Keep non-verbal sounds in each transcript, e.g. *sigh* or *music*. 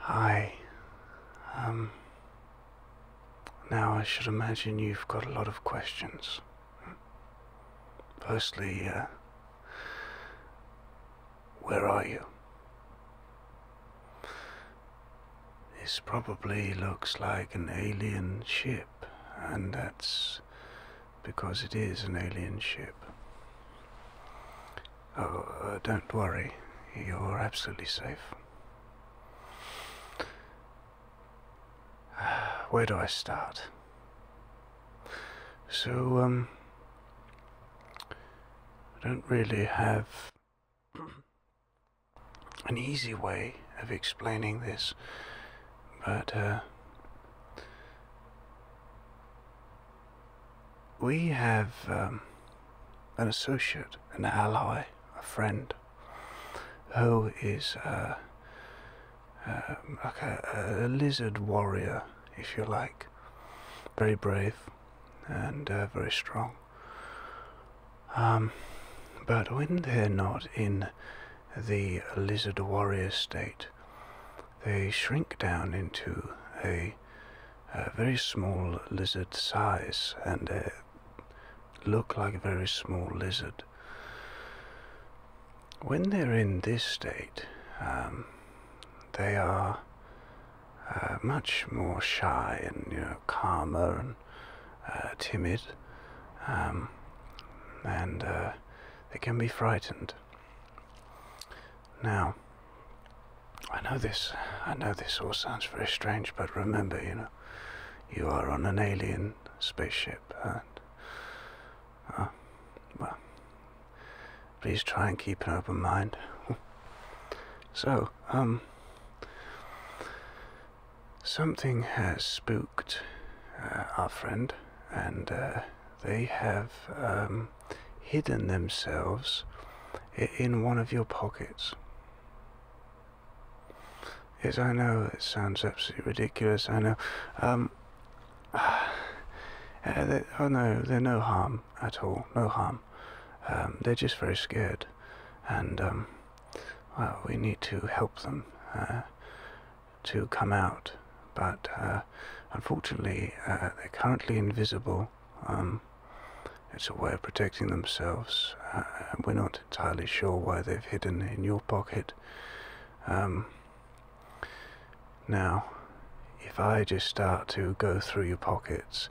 Hi. Um, now, I should imagine you've got a lot of questions. Firstly, uh, where are you? This probably looks like an alien ship, and that's because it is an alien ship. Oh, uh, don't worry. You're absolutely safe. *sighs* Where do I start? So, um, I don't really have *clears throat* an easy way of explaining this, but, uh, we have um, an associate, an ally, a friend, who is uh, um, like a, lizard warrior, if you like. Very brave and uh, very strong. Um, but when they're not in the lizard warrior state, they shrink down into a, very small lizard size and uh, look like a very small lizard. When they're in this state, um, they are uh, much more shy and you know, calmer and uh, timid, um, and uh, they can be frightened. Now, I know this. I know this all sounds very strange, but remember, you know, you are on an alien spaceship, and uh, well, please try and keep an open mind. *laughs* so, um, something has spooked uh, our friend, and uh, they have um, hidden themselves in one of your pockets. As I know it sounds absolutely ridiculous. I know. Um, *sighs* uh, oh no, they're no harm at all. No harm. Um, they're just very scared, and um, well, we need to help them. Uh, to come out, but uh, unfortunately uh, they're currently invisible. Um, it's a way of protecting themselves. Uh, we're not entirely sure why they've hidden in your pocket. Um, now, if I just start to go through your pockets,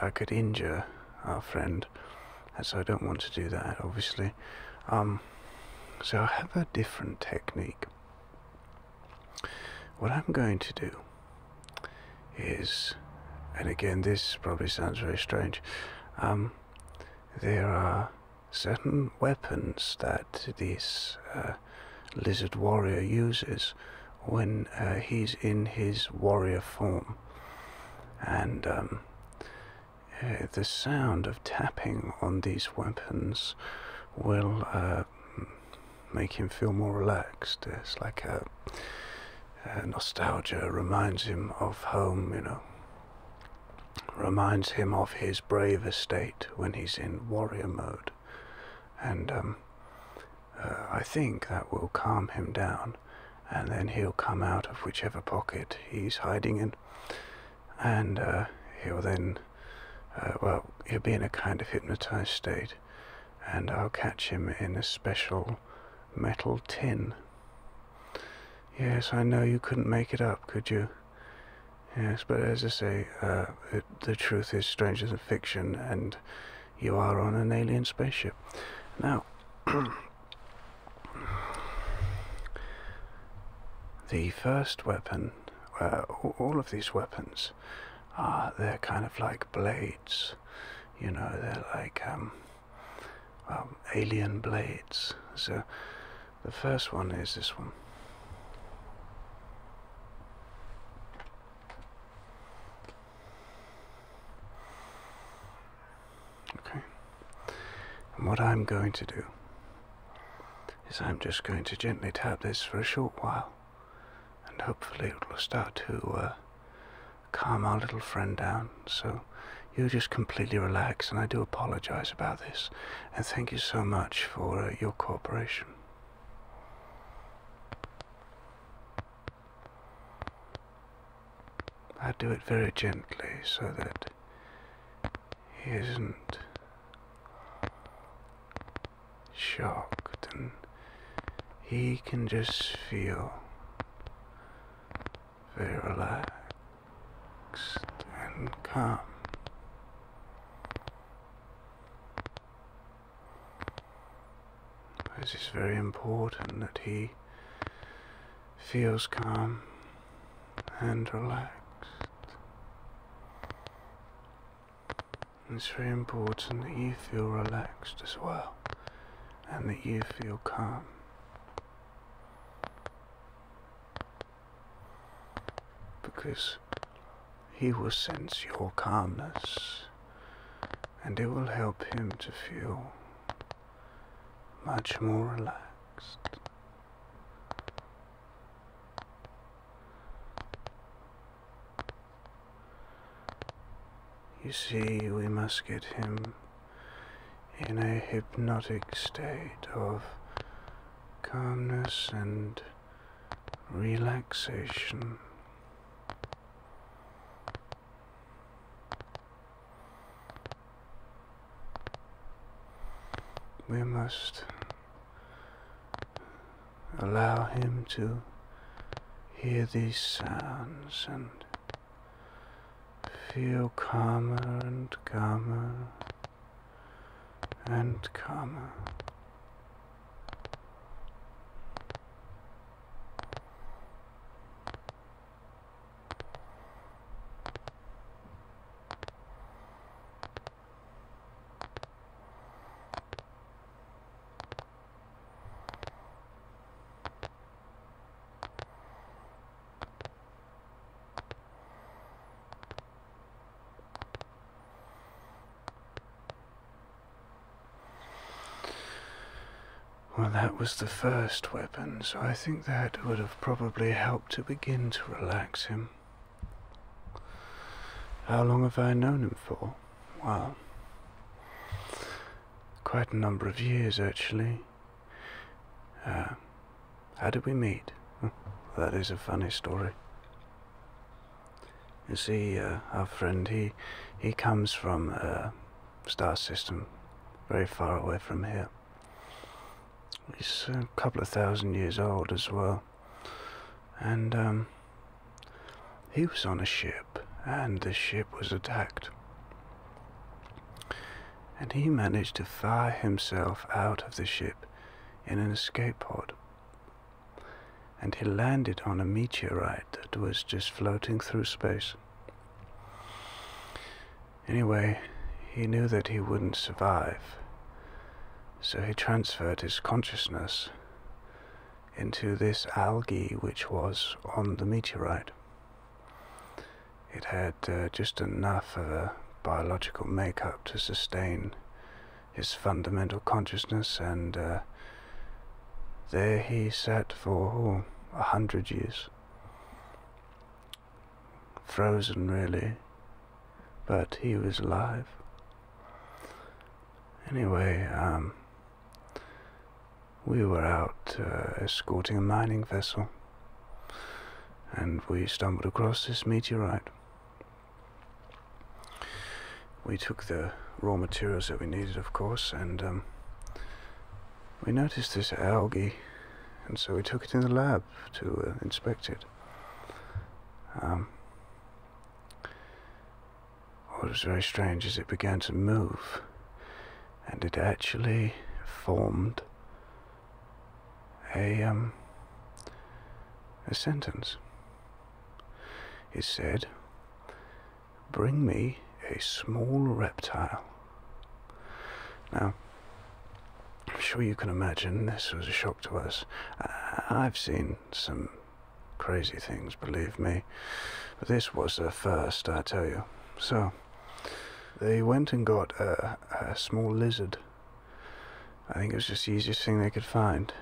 I could injure our friend, and so I don't want to do that, obviously. Um, so I have a different technique. What I'm going to do is, and again, this probably sounds very strange, um, there are certain weapons that this uh, lizard warrior uses when uh, he's in his warrior form. And um, uh, the sound of tapping on these weapons will make him feel more relaxed. It's like a, nostalgia reminds him of home, you know. Reminds him of his brave estate when he's in warrior mode, and um, uh, I think that will calm him down, and then he'll come out of whichever pocket he's hiding in, and uh, he'll then, uh, well, he'll be in a kind of hypnotized state, and I'll catch him in a special metal tin. Yes, I know you couldn't make it up, could you? Yes, but as I say, uh, the truth is stranger than fiction, and you are on an alien spaceship. Now, *clears throat* the first weapon uh, all of these weapons are they're kind of like blades you know they're like um, um, alien blades so the first one is this one okay what i'm going to do is I'm just going to gently tap this for a short while and hopefully it will start to uh, calm our little friend down. So you just completely relax and I do apologize about this and thank you so much for uh, your cooperation. I do it very gently so that he isn't shocked and he can just feel very relaxed and calm. This is very important that he feels calm and relaxed. It's very important that you feel relaxed as well and that you feel calm. Because he will sense your calmness and it will help him to feel much more relaxed. You see, we must get him in a hypnotic state of calmness and relaxation. We must allow him to hear these sounds and feel calmer and calmer and calmer. Well, that was the first way so I think that would have probably helped to begin to relax him. How long have I known him for? Well, quite a number of years actually. Uh, how did we meet? that is a funny story. You see, uh, our friend, he, he comes from a uh, star system very far away from here. He's a couple of thousand years old as well. And um, he was on a ship, and the ship was attacked. And he managed to fire himself out of the ship in an escape pod. And he landed on a meteorite that was just floating through space. Anyway, he knew that he wouldn't survive, so he transferred his consciousness into this algae which was on the meteorite. It had uh, just enough of a biological makeup to sustain his fundamental consciousness, and uh, there he sat for oh, a hundred years frozen really, but he was alive. Anyway, um, we were out uh, escorting a mining vessel, and we stumbled across this meteorite. We took the raw materials that we needed, of course, and um, we noticed this algae, and so we took it in the lab to uh, inspect it. Um, what was very strange is it began to move, and it actually formed a um, a sentence. It said, "Bring me a small reptile." Now, I'm sure you can imagine this was a shock to us. Uh, I've seen some crazy things, believe me, but this was the first, I tell you. So, they went and got a, small lizard. I think it was just the easiest thing they could find.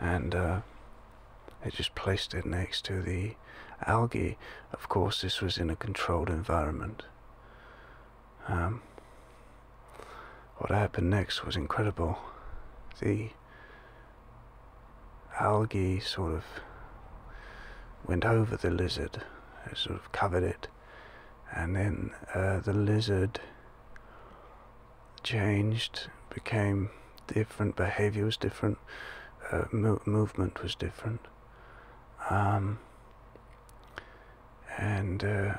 And uh, they just placed it next to the algae of course, this was in a controlled environment. Um, what happened next was incredible. The algae sort of went over the lizard, sort of covered it, and then uh, the lizard changed, became different, behavior was different, uh, movement was different. Um, and uh,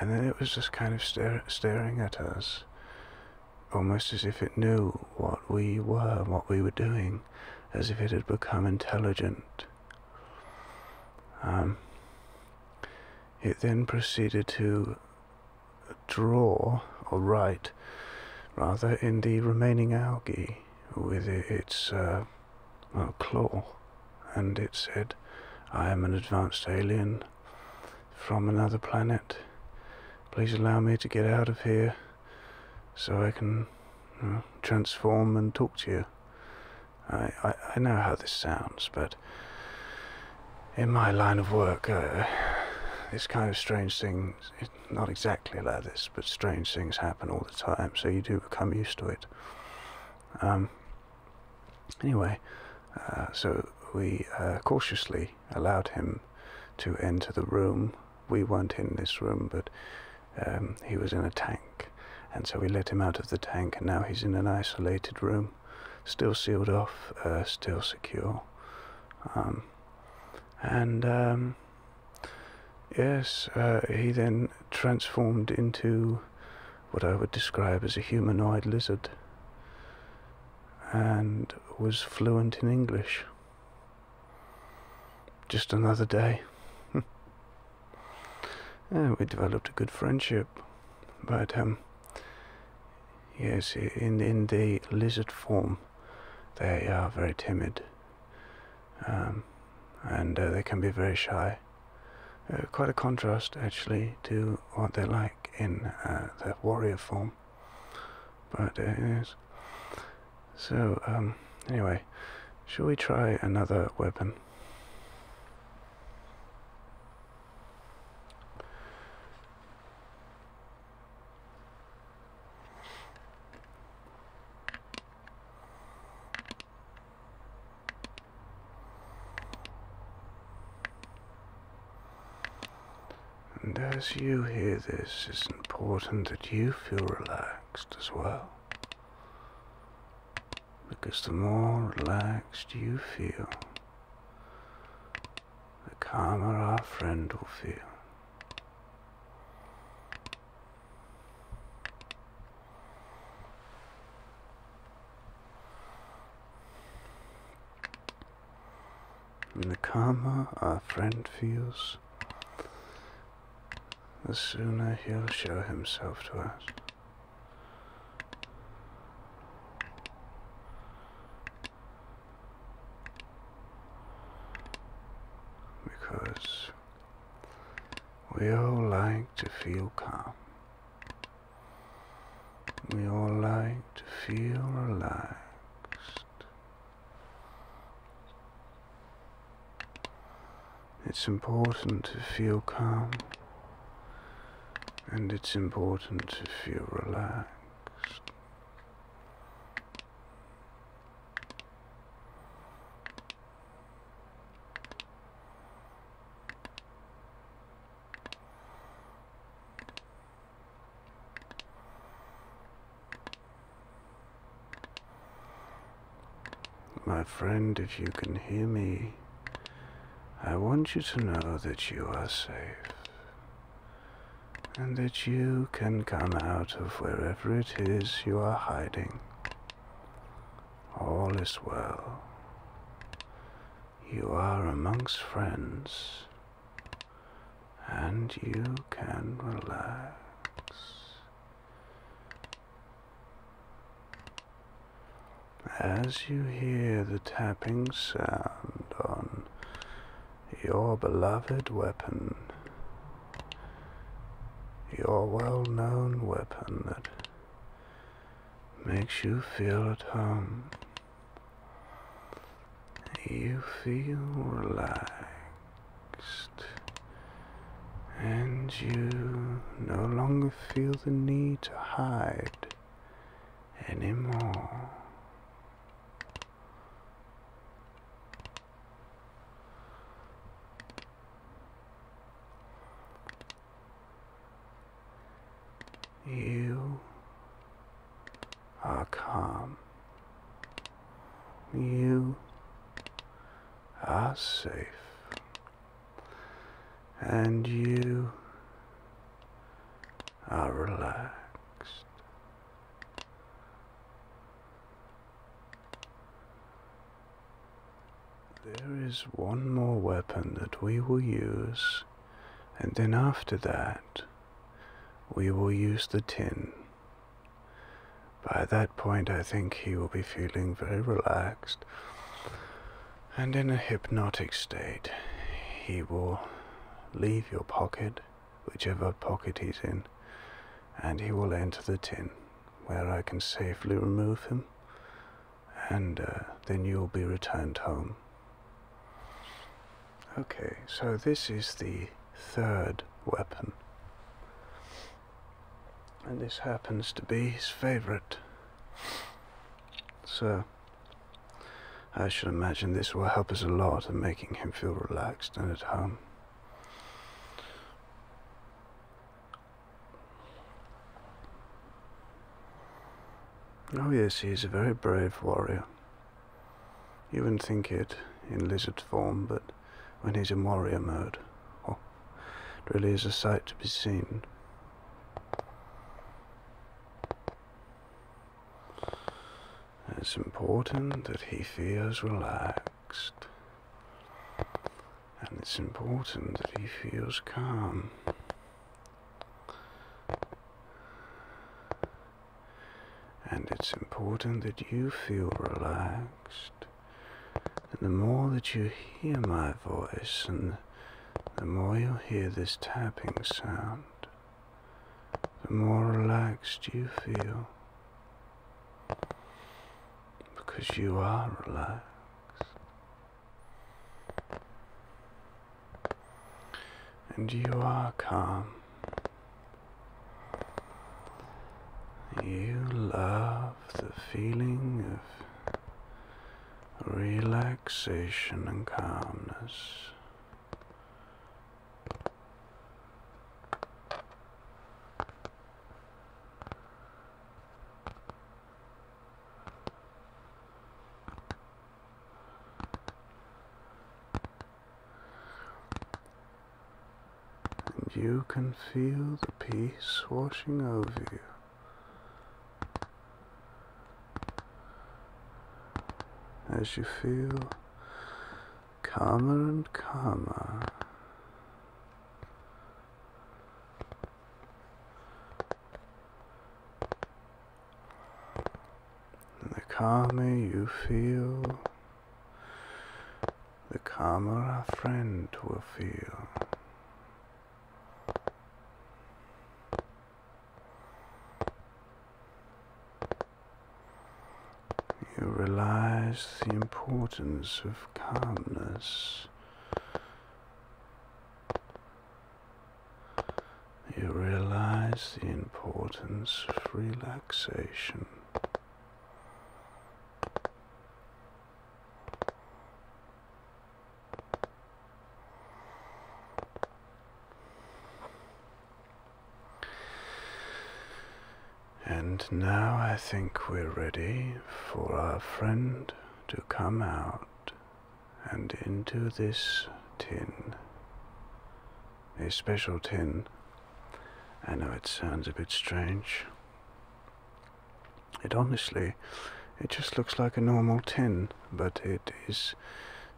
and then it was just kind of staring at us, almost as if it knew what we were, what we were doing, as if it had become intelligent. Um, it then proceeded to draw or write, rather, in the remaining algae with its uh, claw, and it said, I am an advanced alien from another planet. Please allow me to get out of here so I can transform and talk to you. I, I, I, know how this sounds, but in my line of work, uh, this kind of strange thing is not exactly exactly like this, but strange things happen all the time, so you do become used to it. Um, anyway, uh, so we uh, cautiously allowed him to enter the room. We weren't in this room, but um, he was in a tank, and so we let him out of the tank, and now he's in an isolated room, still sealed off, uh, still secure. Um, and Yes, uh, he then transformed into what I would describe as a humanoid lizard and was fluent in English. Just another day. and *laughs* we developed a good friendship, but um, yes, in, in the lizard form, they are very timid um, and uh, they can be very shy. Uh, quite a contrast actually to what they're like in uh, their warrior form, but it is. So um, anyway, shall we try another weapon? And as you hear this, it's important that you feel relaxed as well. Because the more relaxed you feel, the calmer our friend will feel. In the karma, our friend feels, the sooner he'll show himself to us because we all like to feel calm. We all like to feel relaxed. It's important to feel calm and it's important to feel relaxed. My friend, if you can hear me, I want you to know that you are safe and that you can come out of wherever it is you are hiding. All is well. You are amongst friends, and you can relax. As you hear the tapping sound on your beloved weapon, your well known weapon that makes you feel at home. You feel relaxed and you no longer feel the need to hide anymore. You are calm. You are safe. And you are relaxed. There is one more weapon that we will use, and then after that, we will use the tin. By that point, I think he will be feeling very relaxed and in a hypnotic state. He will leave your pocket whichever pocket he's in, and he will enter the tin, where I can safely remove him, and uh, then you'll be returned home. Okay, so this is the third weapon. And this happens to be his favorite. So, I should imagine this will help us a lot in making him feel relaxed and at home. Oh yes, he is a very brave warrior. You wouldn't think it in lizard form, but when he's in warrior mode, oh, it really is a sight to be seen. It's important that he feels relaxed. And it's important that he feels calm. And it's important that you feel relaxed. And the more that you hear my voice and the more you'll hear this tapping sound, the more relaxed you feel. Because you are relaxed. And you are calm. You love the feeling of relaxation and calmness. And you can feel the peace washing over you as you feel calmer and calmer. the calmer you feel, the calmer our friend will feel. You realize the importance of calmness. You realize the importance of relaxation. And now I think we're ready for our friend to come out and into this tin. A special tin. I know it sounds a bit strange. It honestly it just looks like a normal tin, but it is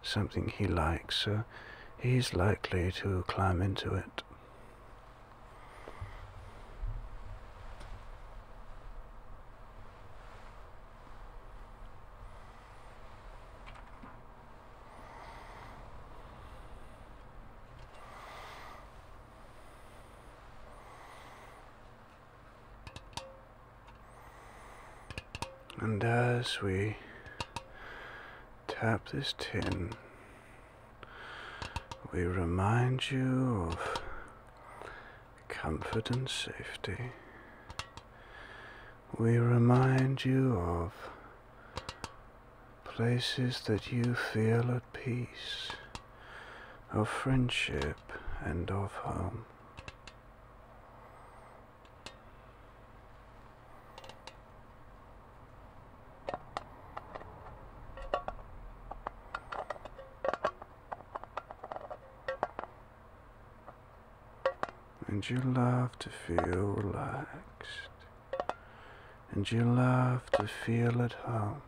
something he likes, so he's likely to climb into it. And as we tap this tin, we remind you of comfort and safety. We remind you of places that you feel at peace, of friendship and of home. And you love to feel relaxed. And you love to feel at home.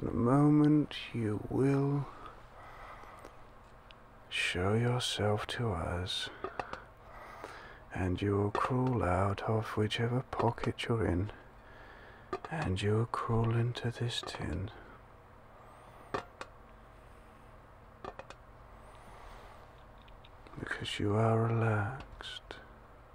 In a moment, you will show yourself to us, and you will crawl out of whichever pocket you're in, and you will crawl into this tin. Because you are relaxed.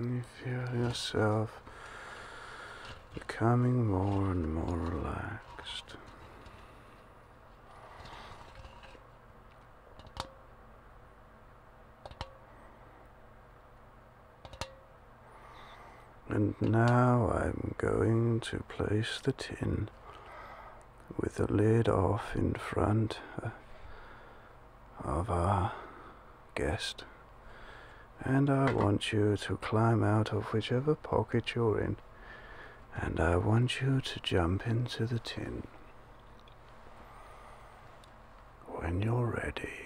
you feel yourself becoming more and more relaxed. And now I'm going to place the tin with the lid off in front uh, of our guest. And I want you to climb out of whichever pocket you're in and I want you to jump into the tin. When you're ready,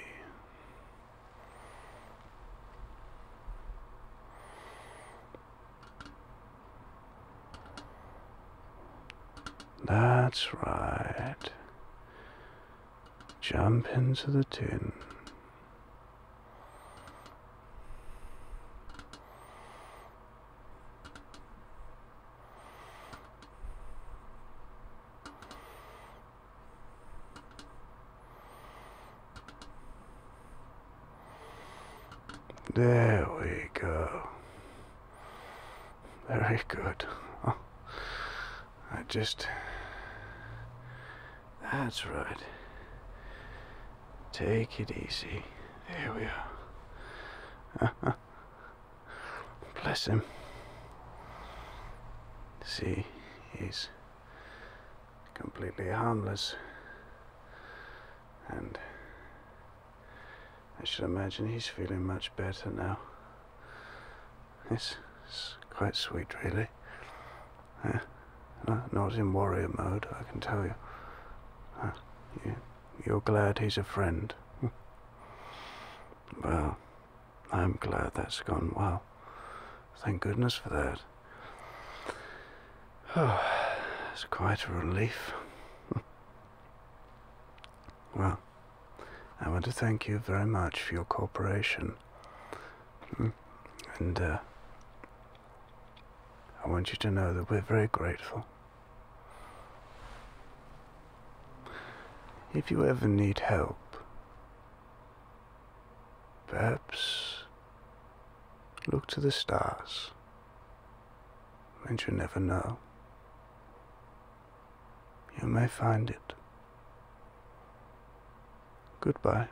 That's right. Jump into the tin. There we go. Very good. Oh, I just... That's right. Take it easy. There we are. *laughs* Bless him. See, he's completely harmless. And I should imagine he's feeling much better now. It's, it's quite sweet, really. Not in warrior mode, I can tell you. you are glad he's a friend. *laughs* well, I'm glad that's gone well. Thank goodness for that. *sighs* it's quite a relief. *laughs* well, I want to thank you very much for your cooperation. Hmm? And, uh, I want you to know that we're very grateful. If you ever need help, perhaps look to the stars, and you never know. You may find it. Goodbye.